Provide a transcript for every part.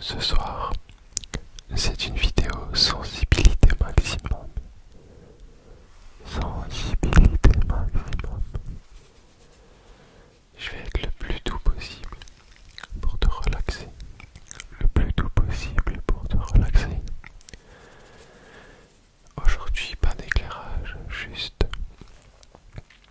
ce soir, c'est une vidéo sensibilité maximum. Sensibilité maximum. Je vais être le plus doux possible pour te relaxer. Le plus doux possible pour te relaxer. Aujourd'hui, pas d'éclairage, juste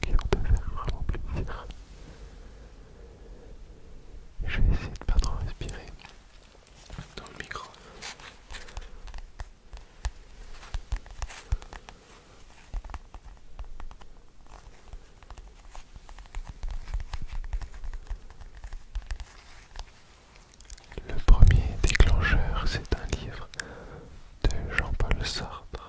qui faire vraiment Je vais essayer de ne pas trop respirer dans le micro. Le premier déclencheur, c'est un livre de Jean-Paul Sartre.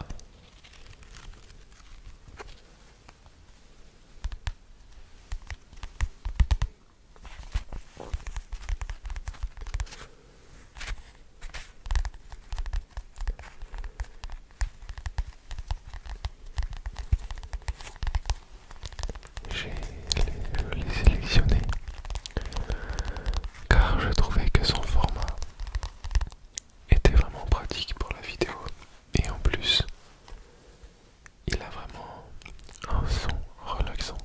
J'ai les, les sélectionnés car je trouvais que son format était vraiment pratique pour la vidéo et en plus il a vraiment un son relaxant.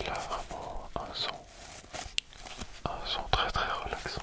Il a vraiment un son, un son très très relaxant.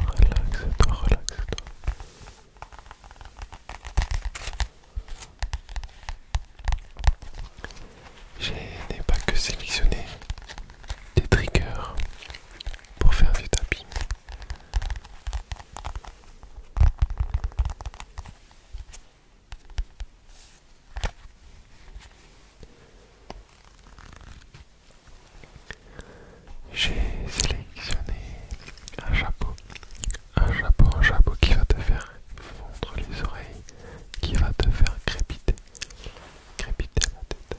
Relaxe-toi, relaxe-toi. Je n'ai pas que sélectionné des triggers pour faire du tapis. J'ai sélectionné un chapeau, un chapeau, un chapeau qui va te faire fondre les oreilles, qui va te faire crépiter, crépiter la tête.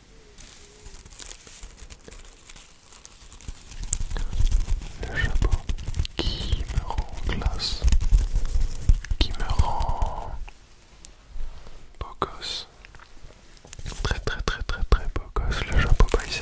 Le chapeau qui me rend classe, qui me rend beau gosse. Très très très très très beau gosse, le chapeau paiser.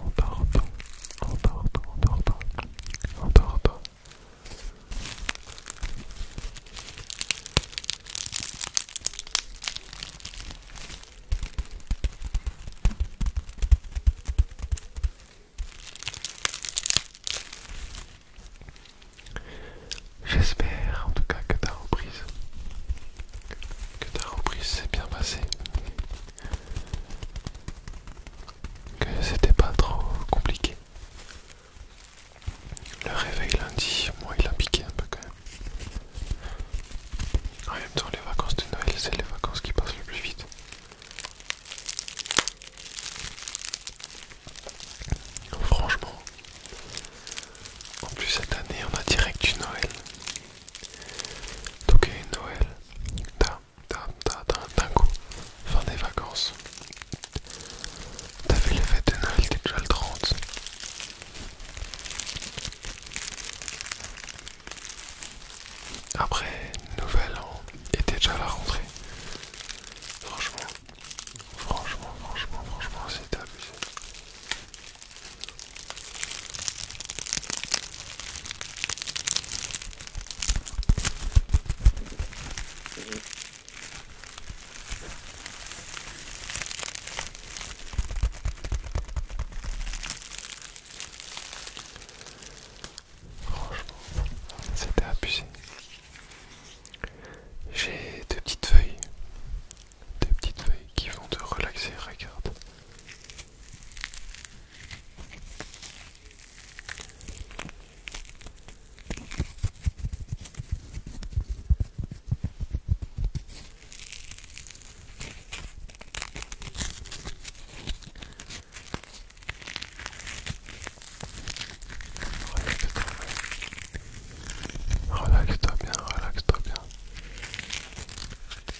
en partant, en partant, en partant, en partant. J'espère en tout cas que ta reprise, que ta reprise s'est bien passée, que c'était pas trop compliqué. Le réveil lundi, moi il a piqué un peu quand même. En même temps, les vacances de Noël, c'est les vacances qui passent le plus vite. Franchement, en plus cette année on a direct du Noël. Donc ta Noël, d'un coup, fin des vacances. T'avais vu les fêtes de Noël, t'es déjà le 30. Après, nouvel an, déjà à la rentrée. Franchement, franchement, franchement, franchement, c'était abusé. Franchement, c'était abusé. J'ai deux petites feuilles, deux petites feuilles qui vont te relaxer. Regarde, Relaxe-toi bien, relaxe-toi bien.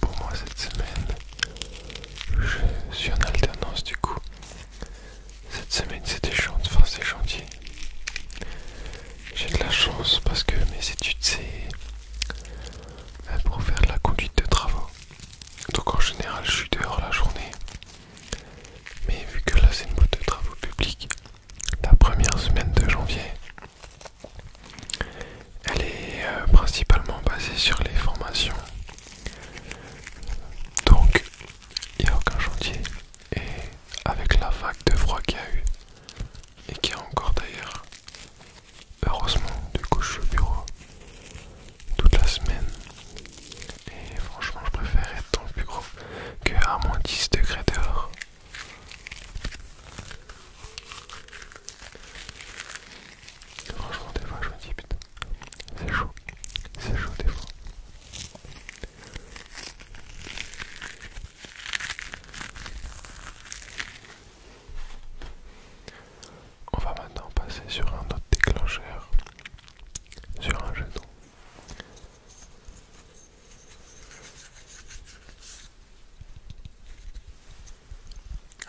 Pour moi cette semaine, je suis en alternance du coup. Cette semaine c'était chantier, enfin c'est chantier. J'ai de la chance parce que mes études c'est euh, pour faire de la conduite de travaux. Donc en général je suis dehors la journée mais vu que là c'est une boîte de travaux publics, la première semaine de janvier, elle est euh, principalement basée sur les formations. Donc il n'y a aucun chantier. Et avec la vague de froid qu'il y a eu, et qui est encore d'ailleurs, heureusement, de gauche au bureau, toute la semaine. Et franchement, je préfère être dans le plus gros que à moins 10 degrés dehors. Franchement, des fois, je me dis putain, c'est chaud, c'est chaud des fois. On va maintenant passer sur un autre déclencheur, sur un jeton.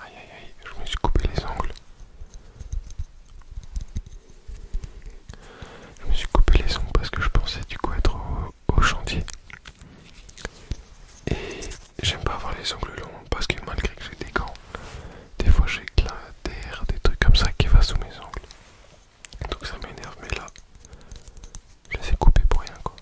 Aïe aïe aïe, je me suis coupé les ongles. Je me suis coupé les ongles parce que je pensais du coup être au, chantier. Et j'aime pas avoir les ongles longs parce que malgré que j'ai des gants, des fois j'éclate des trucs comme ça qui va sous mes ongles. Donc ça m'énerve, mais là, je les couper pour rien quoi.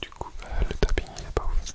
Du coup, euh, le tapping il est pas ouf.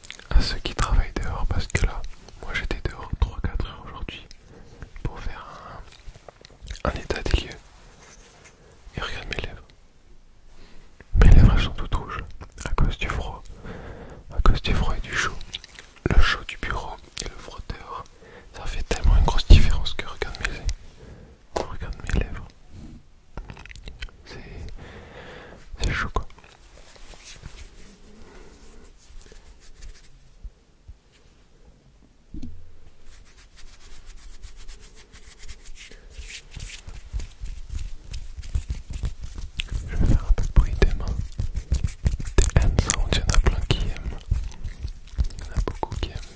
à ceux qui travaillent dehors parce que là, moi j'étais dehors 3-4 heures aujourd'hui pour faire un, état des lieux. Et regarde mes lèvres. Mes lèvres elles sont toutes rouges à cause du froid, à cause du froid et du chaud. Le chaud du bureau et le froid dehors, ça fait tellement une grosse différence que regarde mes lèvres regarde mes lèvres. C'est chaud quoi. Je vais faire un peu de bruit des mains. Des hand On il y en a plein qui aiment. Il y en a beaucoup qui aiment.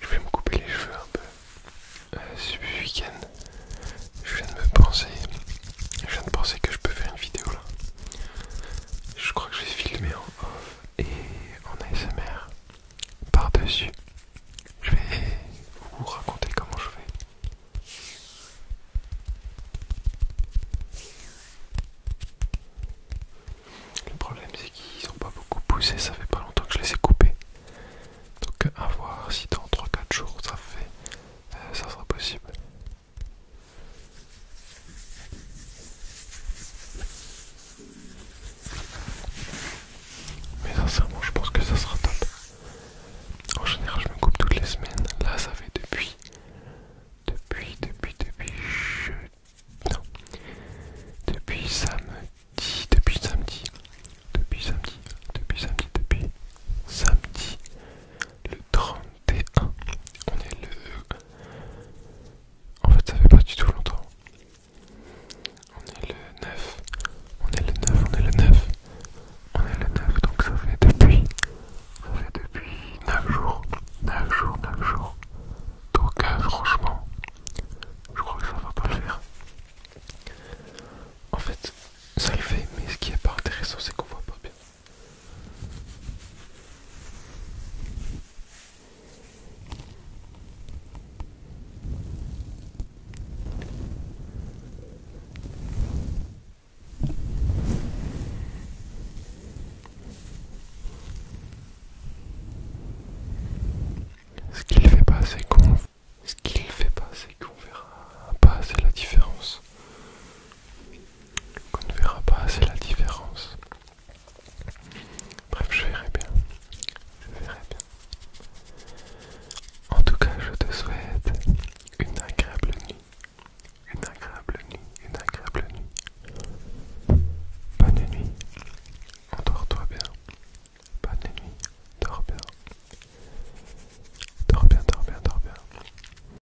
Je vais me couper les cheveux un peu euh, ce week-end. Je viens de me penser, je viens de penser que je peux faire une vidéo là. Je crois que je vais filmer en off et en ASMR par-dessus. Je vais vous raconter comment je fais. Le problème c'est qu'ils n'ont pas beaucoup poussé, ça fait pas longtemps que je les ai coupés. Donc à voir si dans 3-4 jours ça fait euh, ça sera possible. Mais sincèrement, je pense que ça sera top. En général, je me coupe toutes les semaines. Là, ça fait depuis. Depuis, depuis, depuis. Non. Depuis samedi. Depuis samedi. Depuis samedi. Depuis samedi. Depuis samedi. Le 31. On est le en fait, ça fait pas du tout longtemps. On est le 9. On est le 9, on est le 9. On est le 9, donc ça fait depuis. Ça fait depuis 9 jours. 9 jours, 9 jours. Donc, euh, franchement, je crois que ça va pas le faire. En fait, ça le fait, mais ce qui est pas intéressant, c'est qu'on voit pas bien. Ce qu'il fait pas, c'est qu'on ce qu'il fait pas, c'est qu'on verra pas assez la différence qu'on ne verra pas assez la différence. Bref, je verrai bien. Je verrai bien. En tout cas, je te souhaite une agréable nuit. Une agréable nuit, une agréable nuit. Bonne nuit. Endors-toi bien. Bonne nuit. Dors bien. Dors bien, dors bien, dors bien.